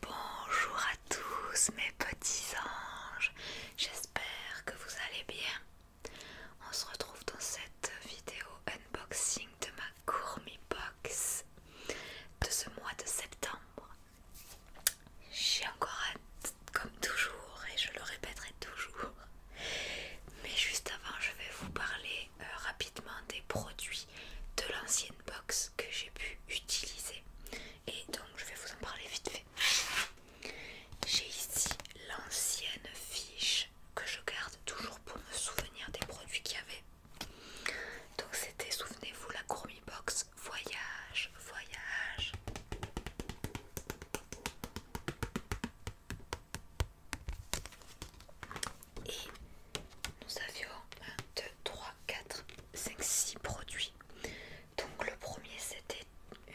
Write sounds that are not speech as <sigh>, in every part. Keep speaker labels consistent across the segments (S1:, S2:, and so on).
S1: Bonjour à tous mes petits anges, j'espère que vous allez bien. On se retrouve dans cette vidéo unboxing de ma gourmet box de ce mois de septembre. J'ai encore hâte, comme toujours, et je le répéterai toujours. Mais juste avant, je vais vous parler euh, rapidement des produits de l'ancienne box que j'ai pu utiliser et donc je vais vous en parler vite fait. J'ai ici l'ancienne fiche que je garde toujours pour me souvenir des produits qu'il y avait. Donc c'était, souvenez-vous, la gourmet box voyage, voyage. Et nous avions 1, 2, 3, 4, 5, 6 produits. Donc le premier c'était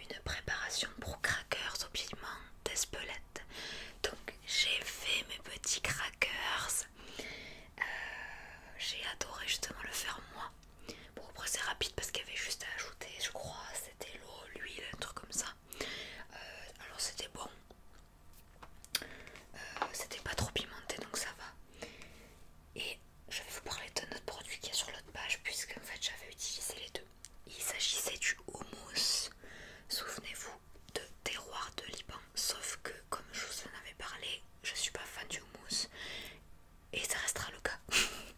S1: une préparation pour crackers au piment d'Espelette. Donc j'ai fait mes petits crackers. Euh, j'ai adoré justement le faire moi. Pour après c'est rapide parce qu'il y avait juste à ajouter je crois c'était l'eau, l'huile, un truc comme ça. Euh, alors c'était bon. Euh, c'était pas trop pimenté donc ça va. Et je vais vous parler d'un autre produit qui est sur l'autre page puisque en fait j'avais utilisé les deux. Il s'agissait du houmous Souvenez-vous de terroir de Liban. Sauf que comme je vous en avais parlé, je suis pas fan du houmous Et ça restera le cas.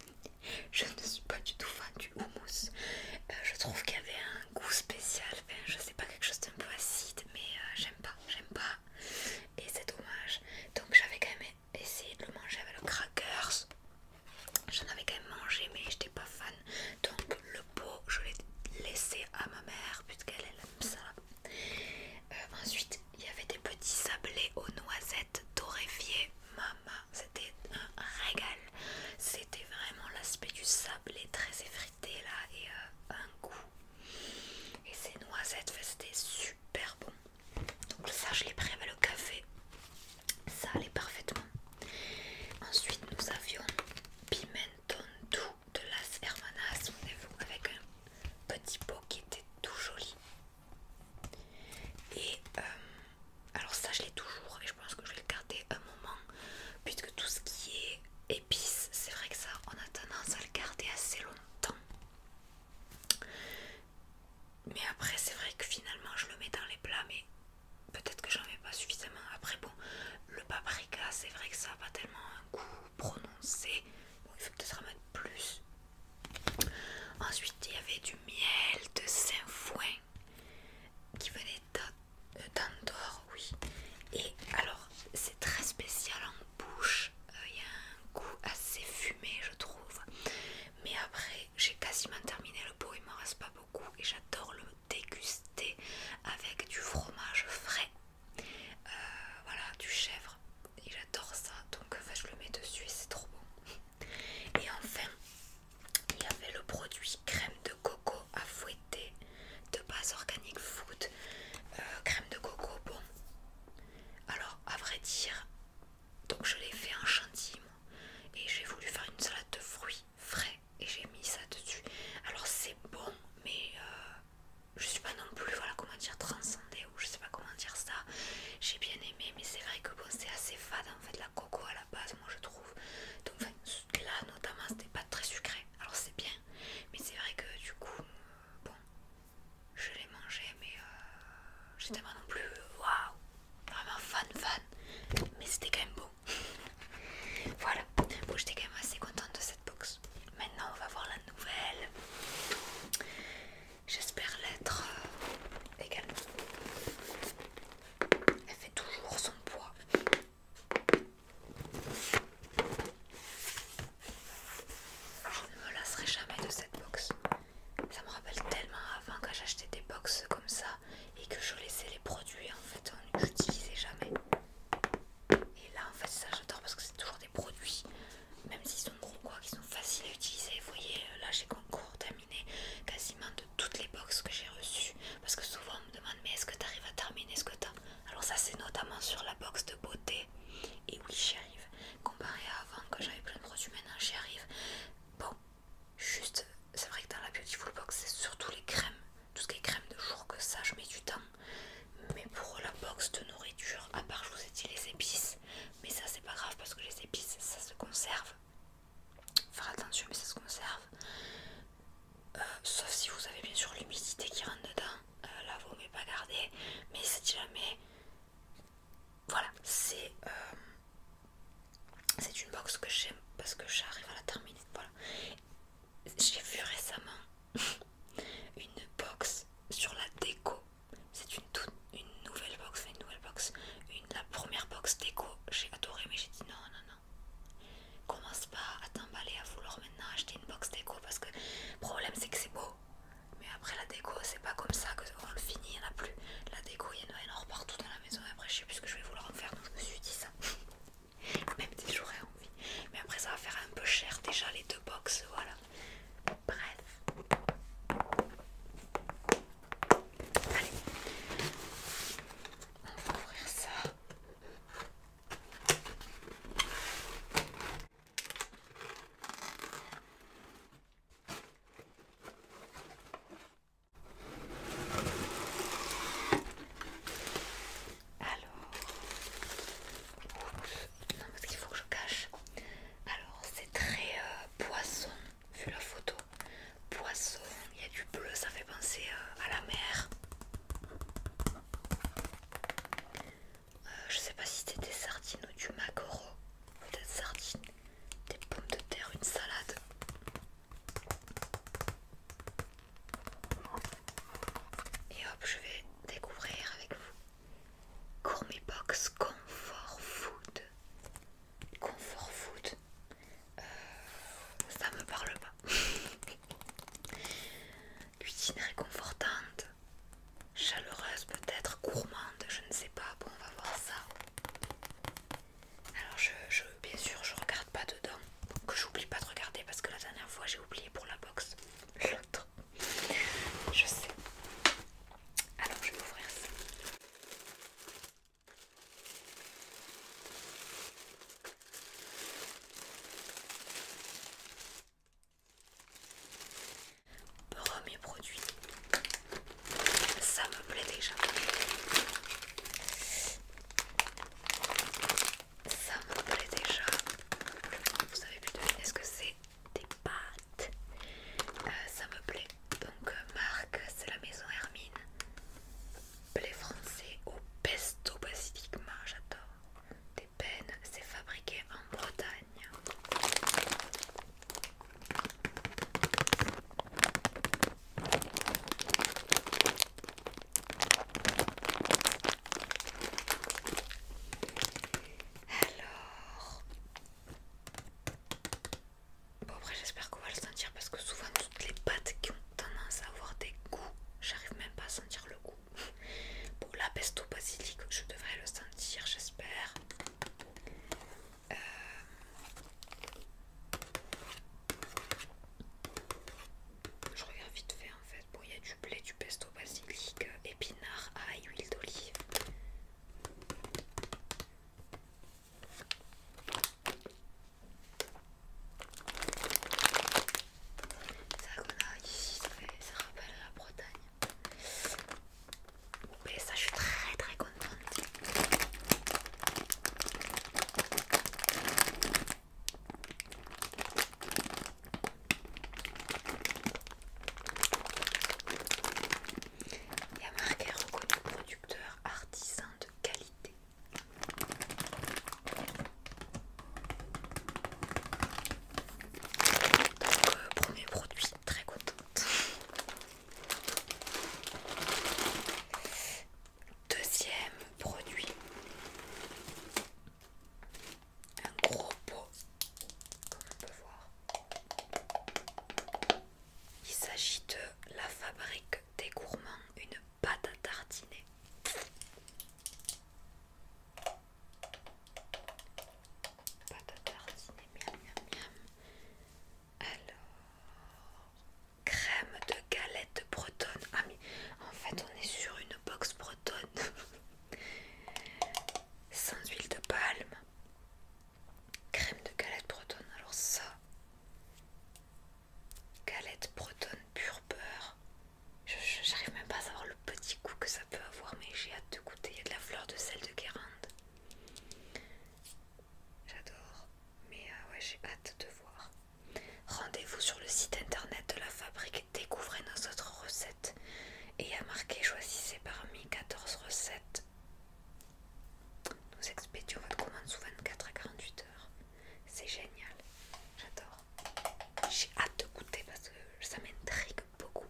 S1: <laughs> je ne suis pas du tout fan du houmous euh, je trouve qu'il y avait un goût spécial je je sais pas, quelque chose d'un peu acide, mais euh, j'aime pas, j'aime pas, et c'est dommage. Donc j'avais quand même essayé de le manger avec le crackers, j'en avais quand même mangé, mais j'étais pas fan. Donc le pot, je l'ai laissé à ma mère, puisqu'elle aime ça. Euh, ensuite, il y avait des petits sablés aux noisettes Doréfiés Maman, c'était un régal. C'était vraiment l'aspect du sablé très effrayant là et euh, un goût. Et ces noisettes c'était super bon. Donc ça je l'ai pris avec le café. Ça allait parfaitement. Ensuite nous avions pimenton doux de Las Hermanas. avec un petit pot qui était tout joli. Et euh, alors ça je l'ai toujours et je pense que je vais le garder un moment puisque tout ce qui est c'est vrai que ça, on a tendance à le garder assez longtemps. Mais après, c'est vrai que finalement, je le mets dans les plats, mais peut-être que j'en mets pas suffisamment. Après, bon, le paprika, c'est vrai que ça n'a pas tellement un goût prononcé. Bon, il faut peut-être en mettre plus. Ensuite, il y avait du miel de Saint-Fouin qui venait d'Andorre, oui. Et alors, c'est très spécial en bouche. Euh, il y a un goût assez fumé, je trouve. Mais après, j'ai quasiment terminé le pot, il m'en reste pas beaucoup. Et j'adore le déguster avec du fromage frais. Euh, voilà, du chèvre. Et j'adore ça. Donc, je le mets dessus et c'est trop bon. Et enfin, il y avait le produit crème de coco à fouetter de base organique food, euh, crème de coco, bon. Alors à vrai dire, donc je l'ai fait en chantilly et j'ai voulu faire une salade de fruits frais et j'ai mis ça dessus. Alors c'est bon mais euh, je suis pas non plus voilà comment dire transcendée ou je sais pas comment dire ça. J'ai bien aimé mais c'est vrai que bon c'est assez fade en fait la coco à la base moi je trouve. Donc là notamment c'était pas très sucré alors c'est bien mais c'est vrai que du coup euh, bon je l'ai mangé mais euh, j'étais pas non plus waouh vraiment fan fan mais c'était quand même beau. <laughs> voilà bon j'étais quand même assez contente de cette box maintenant on va voir la nouvelle j'espère l'être euh, également elle fait toujours son poids je ne me lasserai jamais de cette box. Ça me rappelle tellement avant quand j'achetais des box comme ça et que je laissais les produits en fait, j'utilisais jamais. Et là en fait ça j'adore parce que c'est toujours des produits, même s'ils sont gros quoi, qui sont faciles à utiliser. Vous voyez là j'ai concours terminé quasiment de toutes les boxes que j'ai reçues parce que souvent on me demande mais est-ce que tu arrives à terminer ce que t'as Alors ça c'est notamment sur la box de beauté. Et oui j'y arrive. Comparé à avant que j'avais plein de produits, maintenant j'y arrive. Bon, juste, c'est vrai que dans la Beautiful Box c'est surtout les crèmes. Tout ce qui est crème de jour que ça, je mets du temps. Mais pour la box de nourriture, à part je vous ai dit les épices. Mais ça c'est pas grave parce que les épices ça se conserve. Faire attention mais ça se conserve sauf si vous avez bien sûr l'humidité qui rentre dedans, euh, là vous ne pas garder, mais c'est jamais, voilà, c'est euh, c'est une box que j'aime parce que j'arrive à la terminer, voilà. J'ai vu récemment <laughs> une box sur la déco, c'est une, une nouvelle box, une nouvelle box, une, la première box déco, j'ai adoré mais j'ai dit non, non, non, Commence pas à t'emballer à vouloir maintenant acheter une box déco parce que le problème c'est que c'est beau. Mais après la déco c'est pas comme ça que on le finit, il n'y en a plus. La déco il y en a énorme partout dans la maison après je sais plus ce que je vais vouloir en faire donc je me suis dit ça. <laughs> Même si j'aurais envie. Hein, Mais après ça va faire un peu cher déjà les deux box, voilà. Bref. Allez. On va ouvrir ça. Alors, non parce qu'il faut que je cache. Alors c'est très euh, poisson vu la photo poisson, il y a du bleu, ça fait penser euh, à la mer. Euh, je sais pas si c'était des sardines ou du maquereau, peut-être sardines, des pommes de terre, une salade. Et hop, je vais découvrir avec vous. Gourmet Box Comfort Food. Comfort Food, euh, ça me parle pas. <laughs> Cuisine réconfortante, chaleureuse peut-être, gourmande, je ne sais pas. Bon, on va voir ça. Alors, je, je, bien sûr, je regarde pas dedans, que j'oublie pas de regarder parce que la dernière fois j'ai oublié pour la box l'autre. Je sais. Alors, je vais ouvrir ça. Premier produit, ça me plaît déjà. Ça me plaît déjà. Vous avez pu est ce que c'est des pâtes. Euh, ça me plaît. Donc, euh, marque, c'est la maison Hermine. Plais français au pesto basilic, marge, j'adore. Des peines, c'est fabriqué en Bretagne. Alors, Bon après j'espère qu'on va le sentir parce que souvent toutes les pâtes qui ont tendance à avoir des goûts, j'arrive même pas à sentir le goût. <laughs> Bon la pesto basilic, je devrais le sentir j'espère. Euh, je regarde vite fait en fait. Bon il y a du blé, du pesto basilic, euh, épinard ail, huile d'olive. Ça qu'on ici, ça, fait, ça rappelle la Bretagne. Mais ça, je suis très très contente. Il y a marqué reconnu producteur artisan de qualité. Donc, premier produit, très contente. Deuxième produit, un gros pot, comme peut voir. Il s'agit de la fabrique des gourmands, une pâte à tartiner. Pâte à tartiner, miam miam Alors, crème de galette bretonne. Ah mais en fait on est sur une box bretonne. <laughs> Sans huile de palme, Crème de galette bretonne, alors ça. Galette bretonne pur beurre. J'arrive même pas à savoir le petit goût que ça peut avoir, mais j'ai hâte de goûter. Il y a de la fleur de sel de Guérande. J'adore. Mais euh, ouais, j'ai hâte de voir. Rendez-vous sur le site internet de la fabrique, découvrez nos autres recettes. Et à marquer marqué choisissez parmi 14 recettes nous expédions votre commande sous 24 à 48 heures. C'est génial. J'adore. J'ai hâte de goûter parce que ça m'intrigue beaucoup.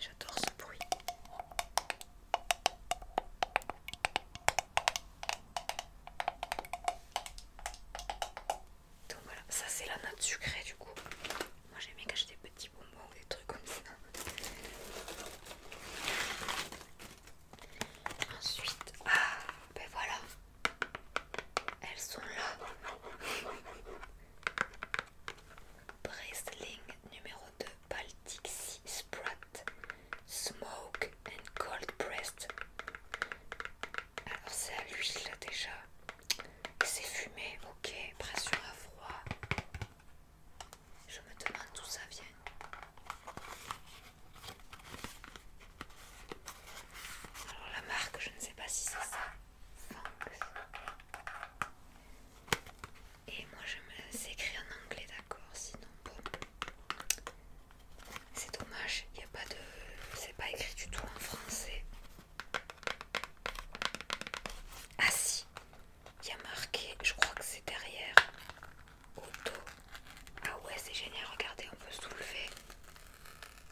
S1: J'adore ce bruit. Donc voilà, ça c'est la note sucrée du coup. Moi j'aime bien cacher des petits bonbons, des trucs comme ça. Ensuite, ah ben voilà, elles sont là. Breastling numéro 2 Baltic Sea Sprat Smoke and Cold Breast alors c'est à l'huile déjà. C'est fumé, ok. Pression à froid. Je me demande d'où ça vient. Alors la marque, je ne sais pas si c'est ça. Et moi je me laisse écrire en anglais d'accord, sinon bon. C'est dommage, il n'y a pas de. C'est pas écrit du tout en français. Ah si, il y a marqué, je crois que c'est derrière. Auto. Ah ouais, c'est génial, regardez, on peut soulever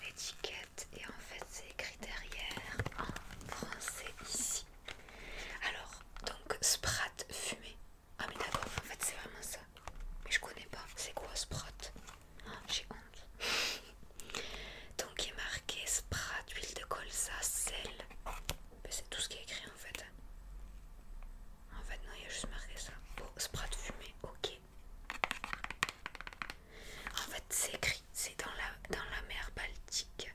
S1: l'étiquette et en fait c'est écrit derrière en français ici. Alors, donc Sprat fumé. Ah mais d'accord, en fait c'est vraiment ça. Mais je connais pas, c'est quoi Sprat j'ai honte. <laughs> Donc il est marqué sprat, huile de colza, sel. c'est tout ce qui est écrit en fait. En fait non, il y a juste marqué ça. Oh, sprat fumé, ok. En fait c'est écrit, c'est dans dans la mer Baltique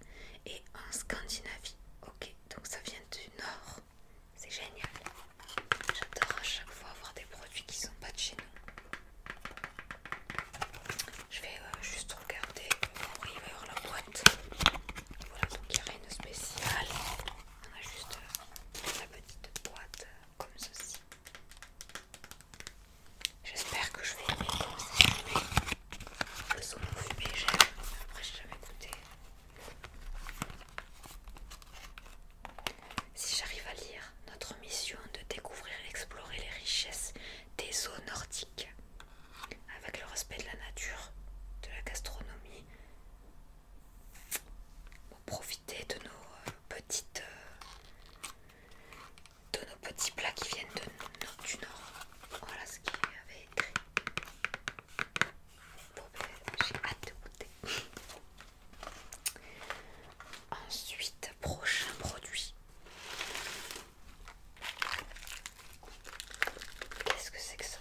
S1: et en Scandinavie. Ok, donc ça vient du nord c'est génial. J'adore à chaque fois avoir des produits qui sont pas de chez nous. Je vais euh, juste regarder y euh, avoir la boîte. Voilà, donc il n'y a rien de spécial. On a juste euh, la petite boîte comme ceci. J'espère que je vais aimer comme c'est Le saumon fumé, j'aime. Après, n'ai jamais goûté. Si j'arrive à lire, notre mission de découvrir et explorer les richesses des eaux nordiques, avec le respect de la nature, de la gastronomie, pour profiter de nos euh, petites, euh, de nos petits plats qui viennent de, du nord. Voilà ce qu'il avait écrit. J'ai hâte de goûter. Ensuite, prochain produit. Qu'est-ce que c'est que ça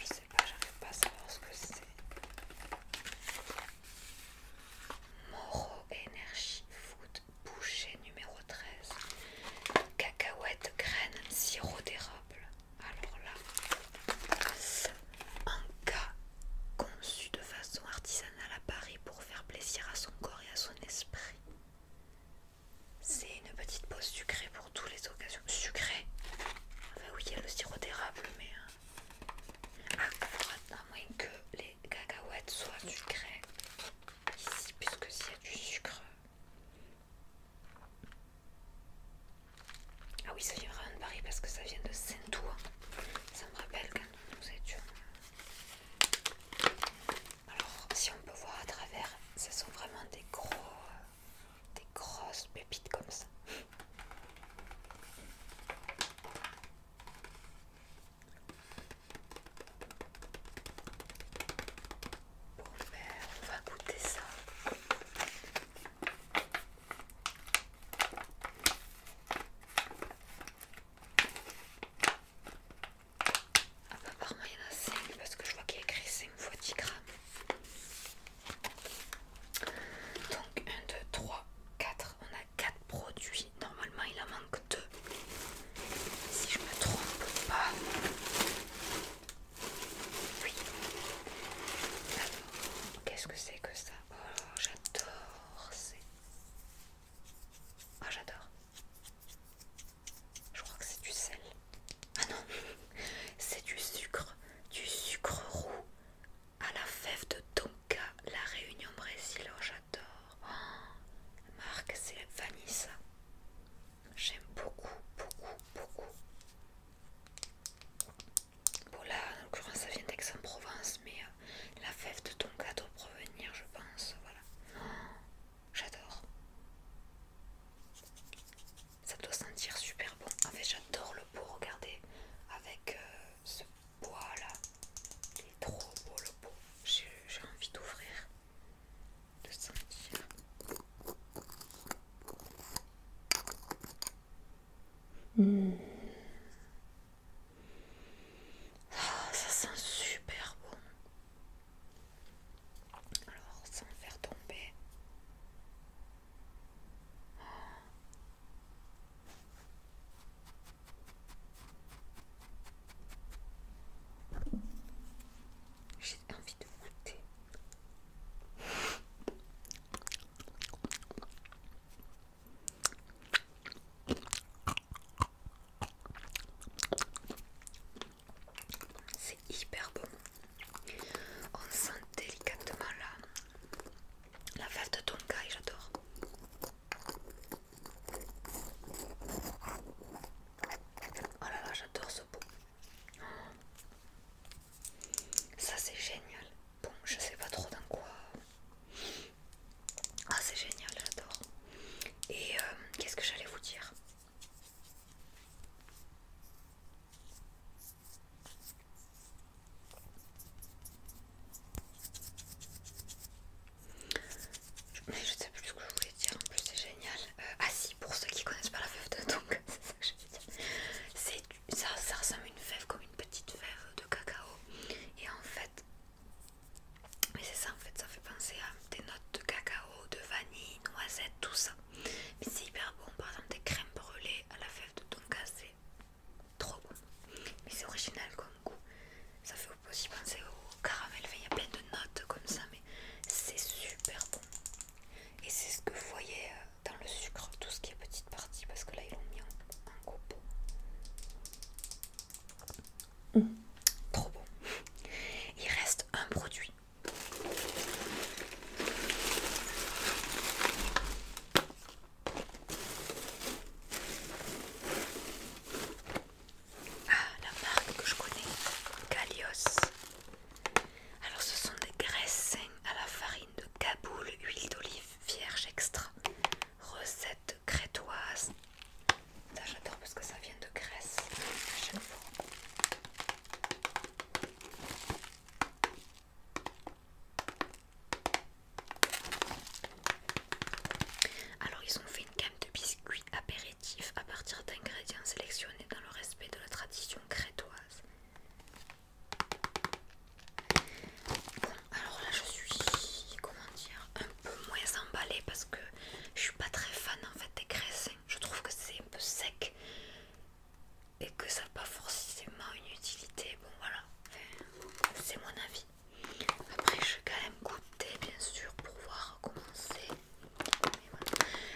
S1: Je sais pas, j'arrive pas à savoir ce que c'est. Moro Energy Food Boucher numéro 13. Cacahuètes, graines, sirop d'érable alors là, un cas conçu de façon artisanale à Paris pour faire plaisir à son corps et à son esprit. C'est une petite pause sucrée pour toutes les occasions. Sucrée Enfin ah bah oui, il y a le sirop d'érable, mais... Hein. Ah, à moins que les cacahuètes soient sucrées ici, puisque s'il y a du sucre, ah oui, ça vient vraiment de Paris parce que ça vient de Saint-Ouen. Ça me rappelle quand nous étions. Euh, alors, si on peut voir à travers, ce sont vraiment des gros, des grosses pépites comme ça. Bon ben, On va goûter ça. Apparemment, il y en a 5 parce que je vois qu'il y a écrit 5 fois 10 grammes. Donc 1, 2, 3, 4. On a 4 produits. Normalement il en manque 2. Si je me trompe pas. Oui. qu'est-ce que c'est que ça Oh, j'adore. C'est. Oh, j'adore. Je crois que c'est du sel. Ah non, <laughs> c'est du sucre, du sucre roux à la fève de Tonka, la Réunion Brésil. Oh, j'adore. Oh, la marque, c'est ça. J'aime beaucoup, beaucoup, beaucoup. Bon là, en l'occurrence, ça vient d'Aix-en-Provence, mais euh, la fève de ton gâteau provenir, je pense. Voilà. Oh, j'adore. Ça doit sentir super bon. En fait, j'adore le pot, regardez, avec euh, ce bois là. Il est trop beau le pot. J'ai envie d'ouvrir de sentir hmm. ah, ça sent super bon alors sans faire tomber ah. J'ai c'est hyper bon. On sent délicatement la, la fève de tonkaï, j'adore. Oh là là, j'adore ce pot. Ça c'est génial. Bon, je sais pas trop dans quoi. Ah, c'est génial, j'adore. Et euh, qu'est-ce que j'allais vous dire Mais je sais plus ce que je voulais dire, en plus c'est génial. Euh, ah si, pour ceux qui connaissent pas la fève de Tonga, <laughs> c'est ça que je veux dire. Ça, ressemble à une fève comme une petite fève de cacao. Et en fait, mais c'est ça en fait, ça fait penser à des notes de cacao, de vanille, noisette, tout ça. Mais c'est hyper bon, par exemple des crèmes brûlées à la fève de Tonga, c'est trop bon. Mais c'est original comme goût. Ça fait vous pouvez aussi penser hein, au caramel, il y a plein de notes comme ça, mais c'est super bon. Et c'est ce que vous voyez euh, dans le sucre, tout ce qui est petite partie, parce que là ils l'ont mis en, coupe mmh. Trop bon. Il reste un produit. Ah, la marque que je connais, Calios. Alors, ce sont des graisses à la farine de Kaboul, huile d'olive vierge extra, recette crétoise. Ça, j'adore parce que ça vient de Grèce à chaque fois. Alors ils ont fait une gamme de biscuits péril à partir d'ingrédients sélectionnés dans le respect de la tradition crétoise. Bon, alors là je suis, comment dire, un peu moins emballée parce que je suis pas très fan en fait des cressins. Je trouve que c'est un peu sec et que ça n'a pas forcément une utilité. Bon voilà, c'est mon avis. Après je vais quand même goûter bien sûr pour voir comment c'est.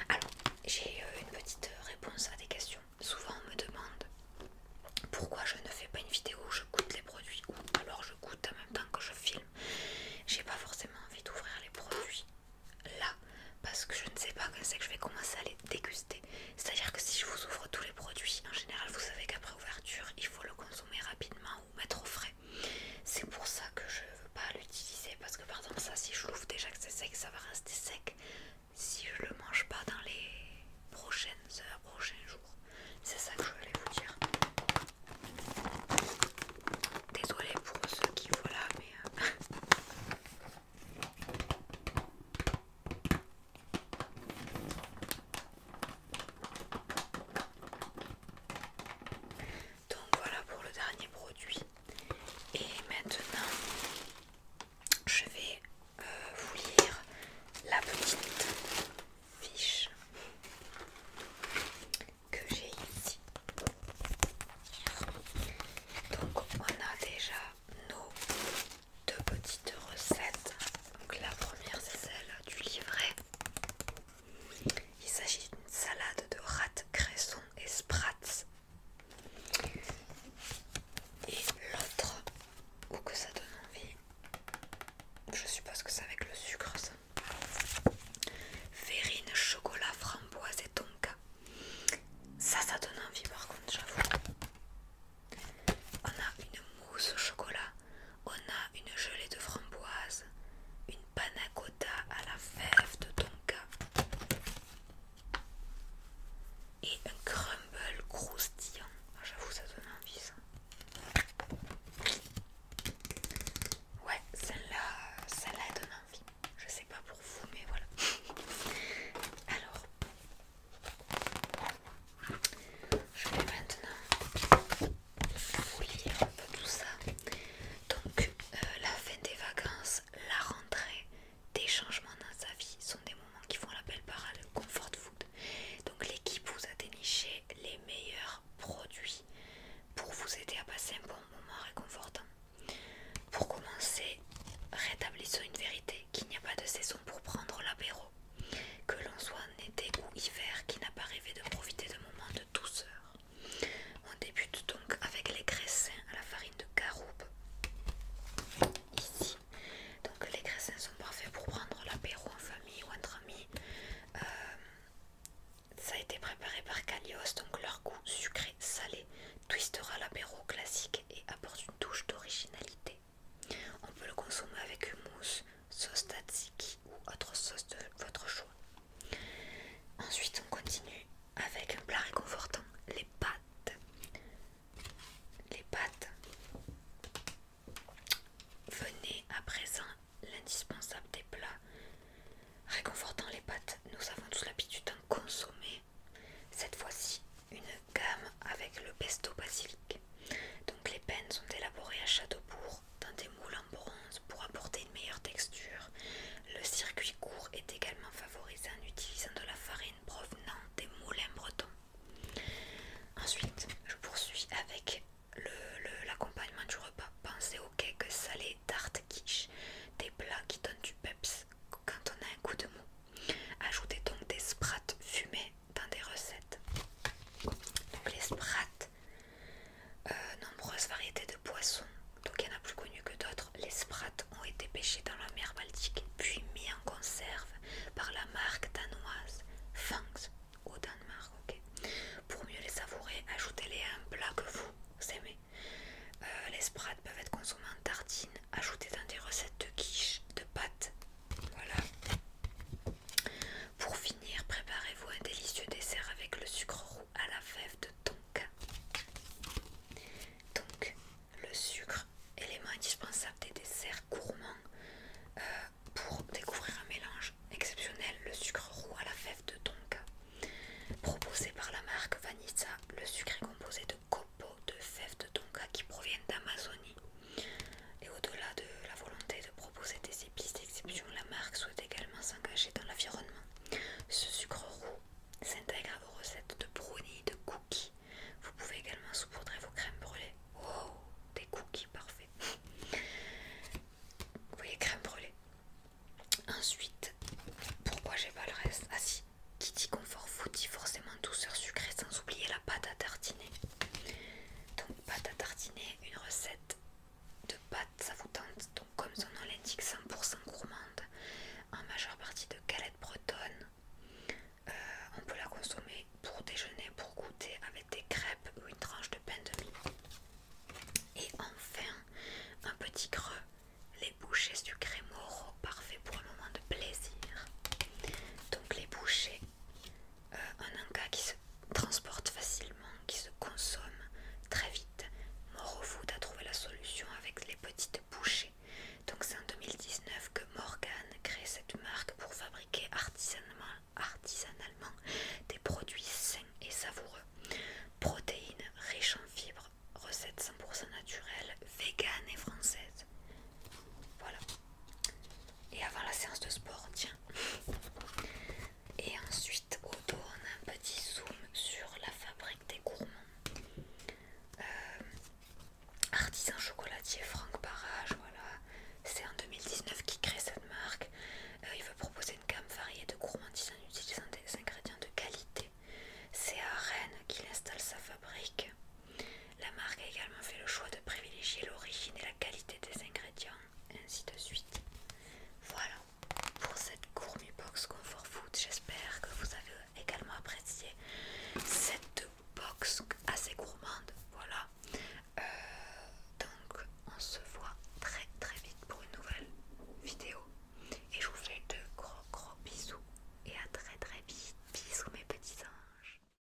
S1: Alors, j'ai euh, une petite euh, réponse à des questions. Souvent, on me demande pourquoi je ne fais pas une vidéo où je goûte les produits ou alors je goûte en même temps que je filme. J'ai pas forcément envie d'ouvrir les produits là parce que je ne sais pas quand c'est que je vais commencer à les déguster. C'est-à-dire que si je vous ouvre tous les produits, en général, vous savez qu'après ouverture, il faut le consommer rapidement ou mettre au frais. C'est pour ça que je ne veux pas l'utiliser parce que par exemple ça si je l'ouvre déjà que c'est sec ça va rester sec si je le mange pas dans les prochaines heures, prochains jours. C'est ça que je voulais vous dire. Désolée pour ceux qui voilà mais... Euh, donc voilà pour le dernier produit et maintenant je vais euh, vous lire la petite fiche que j'ai ici donc on a déjà nos deux petites recettes donc la première c'est celle du livret il s'agit d'une salade de rat, cresson et sprats. Et l'autre, ou que ça donne envie, je suppose que c'est avec le sucre ça. Verrine, chocolat, framboise et tonka. Ça, ça donne envie par contre, j'avoue. On a une mousse au chocolat on a une gelée de framboise, une panna cotta à la fève de tonka et un crumble croustillant. Ah, j'avoue, ça donne envie ça. Ouais, celle-là, celle-là donne envie. Je sais pas pour vous, mais voilà. <laughs> Alors, je vais maintenant vous lire un peu tout ça. Donc, euh, la fin des vacances, la rentrée, des changements dans sa vie sont des moments qui font l'appel par le comfort food. Donc, l'équipe vous a déniché les meilleurs produits pour vous aider à passer un bon moment réconfortant. Pour commencer, rétablissons une vérité qu'il n'y a pas de saison pour prendre l'apéro. Que l'on soit été ou hiver qui n'a pas rêvé de profiter de moments de douceur. On débute donc avec les cressins à la farine de caroube. Ici, donc les cressins sont parfaits pour prendre l'apéro en famille ou entre amis. Euh, ça a été préparé par Calios, donc leur goût sucré salé twistera l'apéro classique et apporte une touche d'originalité. On peut le consommer avec une mousse, sauce tzatziki ou autre sauce de votre choix. Ensuite, on continue avec un plat réconfortant, les pâtes. Les pâtes venez à présent l'indispensable des plats. Réconfortant les pâtes, nous avons tous l'habitude d'en consommer. Cette fois-ci, une gamme avec le pesto basilic. Donc les peines sont élaborées à Châteaubourg dans des moules en bronze pour apporter une meilleure texture. Le circuit court est également favorisé en utilisant de la farine provenant des moulins bretons. Ensuite, je poursuis avec l'accompagnement du repas. Pensez aux cakes salés, tartes, quiche, des plats qui donnent du peps quand on a un coup de mou. Ajoutez donc des sprats fumés dans des recettes. Donc les sprats euh, nombreuses variétés de poissons, donc il y en a plus connu que d'autres. Les sprats ont été pêchés dans la mer Baltique, puis mis en conserve par la marque danoise Fangs au Danemark. Pour mieux les savourer, ajoutez-les à un plat que vous aimez. Euh, les sprats peuvent être consommés en tartine, ajoutés dans des recettes de quiche, de pâtes. Voilà. Pour finir, préparez-vous un délicieux dessert avec le sucre roux à la fève de tonka. Donc, le sucre, élément indispensable des desserts gourmands. Euh, pour découvrir un mélange exceptionnel, le sucre roux à la fève de tonka. Proposé par la marque Vanissa, le sucre est composé de copeaux de fève de tonka qui proviennent d'Amazonie. Et au-delà de la volonté de proposer des épices d'exception, la marque souhaite également s'engager dans l'environnement. Ce sucre roux s'intègre à vos recettes de brownies, de cookies. Vous pouvez également saupoudrer vos crèmes brûlées. Wow, des cookies, parfaits Vous voyez, crème brûlée. Ensuite, pourquoi j'ai pas le reste Ah si, qui confort vous dit forcément douceur sucrée sans oublier la pâte à tartiner. Donc pâte à tartiner, une recette de pâte vous donc comme son nom l'indique 100% gourmande, en majeure partie de galettes bretonne. Euh, on peut la consommer pour déjeuner, pour goûter avec des crêpes ou une tranche de pain de mie. Et enfin, un petit creux, les bouchées sucrées moro, parfait pour un moment de plaisir. Donc les bouchées euh, un Inca qui se transporte facilement, qui se consomme très vite. Morofood a trouvé la solution avec les petites bouchées. Donc c'est en 2019 que Morgan crée cette marque pour fabriquer artisanalement, artisanalement des produits sains et savoureux. Protéines riches en fibres, recettes 100% naturelles, véganes et françaises. Voilà et avant la séance de sport, tiens. Et ensuite, au on a un petit zoom sur la fabrique des gourmands. Euh, artisan chocolatier Franck Barrage, voilà. C'est en 2019 qu'il crée cette marque. Euh, il veut proposer une gamme variée de gourmandises en utilisant des ingrédients de qualité. C'est à Rennes qu'il installe sa fabrique. La marque a également fait le choix de privilégier l'origine et qualité des ingrédients, ainsi de suite. Voilà pour cette gourmet box Comfort Food. J'espère que vous avez également apprécié cette box assez gourmande. Voilà. Euh, donc on se voit très très vite pour une nouvelle vidéo. Et je vous fais de gros gros bisous. Et à très très vite. Bisous mes petits anges.